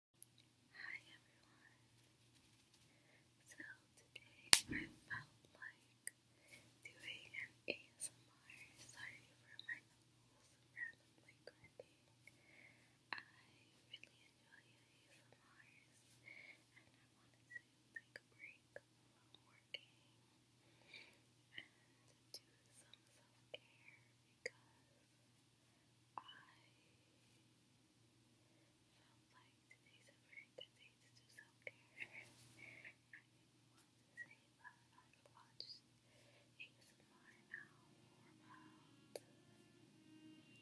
Hi everyone. So today I felt like doing an ASMR. Sorry for my nose randomly grinding. I really enjoy ASMRs and I wanted to take a break from working and do some self care because I felt like today's a very good day to do self care. I want to say that I've watched ASMR now for about four five months.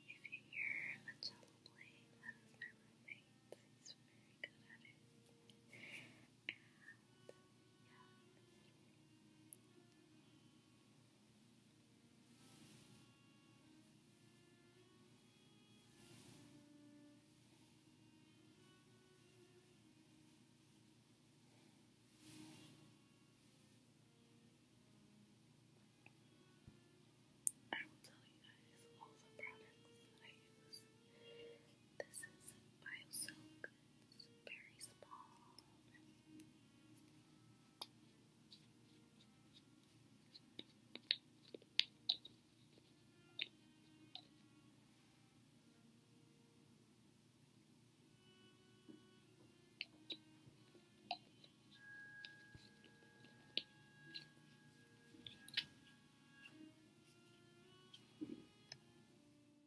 If you hear a cello playing, that is my roommate. He's very good at it and I will tell you guys all the products that I use. This is BioSilk it's very small.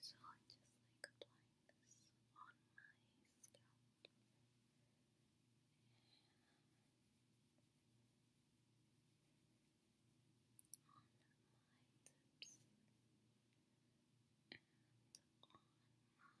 So I just like applying this on my scalp. On my lips and on my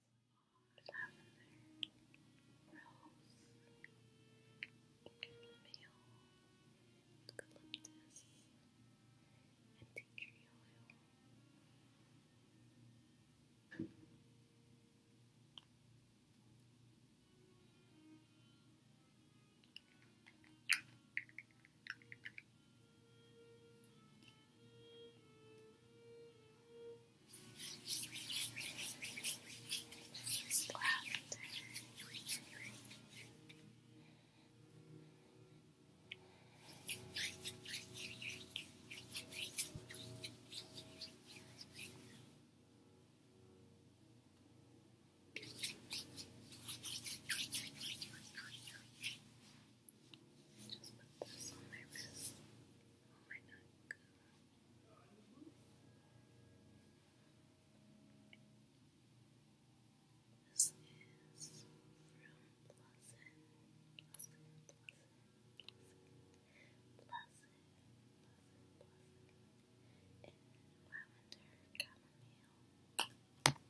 lavender, rose, eucalyptus, and tea tree oil. Just put this on my wrist, on my neck. This is from Pleasant, Pleasant, Pleasant, Pleasant, Pleasant, Pleasant,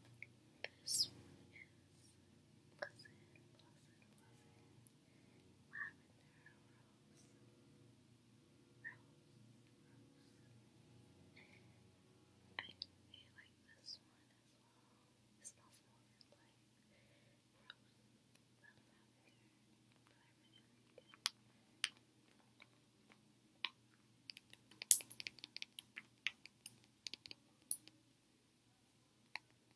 This is Pleasant, Pleasant, Pleasant, lavender, rose, rose, rose. I really like this one as well. It smells more like rose than lavender, but I really like it. I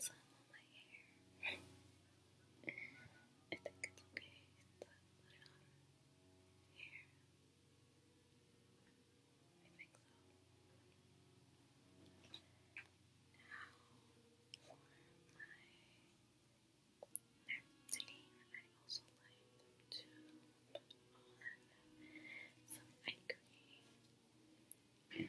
some on my hair. I think it's okay to put it on here. I think so. Now my next I also like to put on some ice cream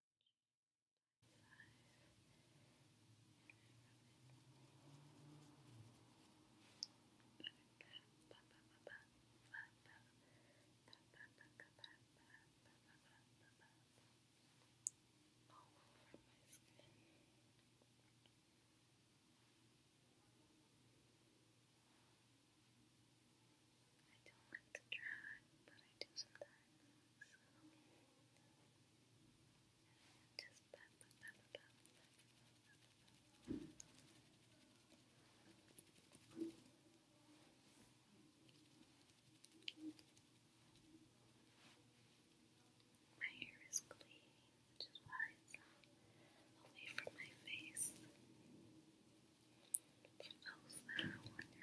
I don't like to try, but I do sometimes. My hair is clean, which is why it's away from my face. For those that are wondering,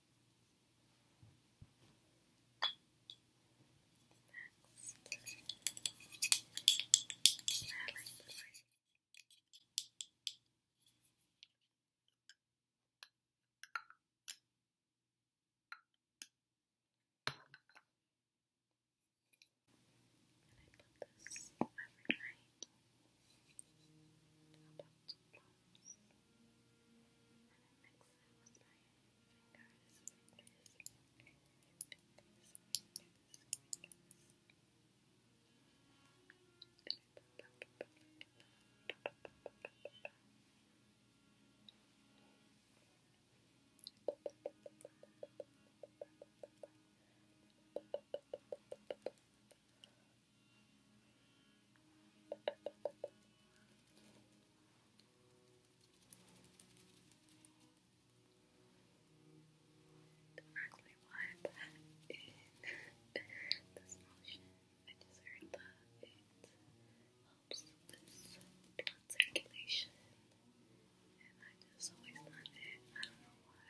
I put this every night about plums. And I mix it with my fingers, fingers, fingers, fingers, fingers. Thank you. Directly wipe that this motion. I just heard that it helps with blood circulation. And I just always love it. I don't know why.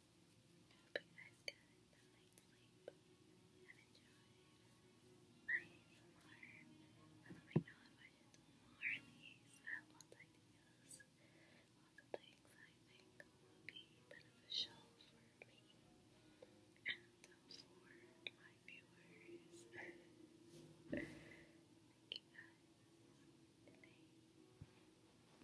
good night's sleep and enjoyed my ASMR. let me know if I do more of these. I have lots of ideas, lots of things I think will be beneficial for me and for my viewers. Thank you guys. Good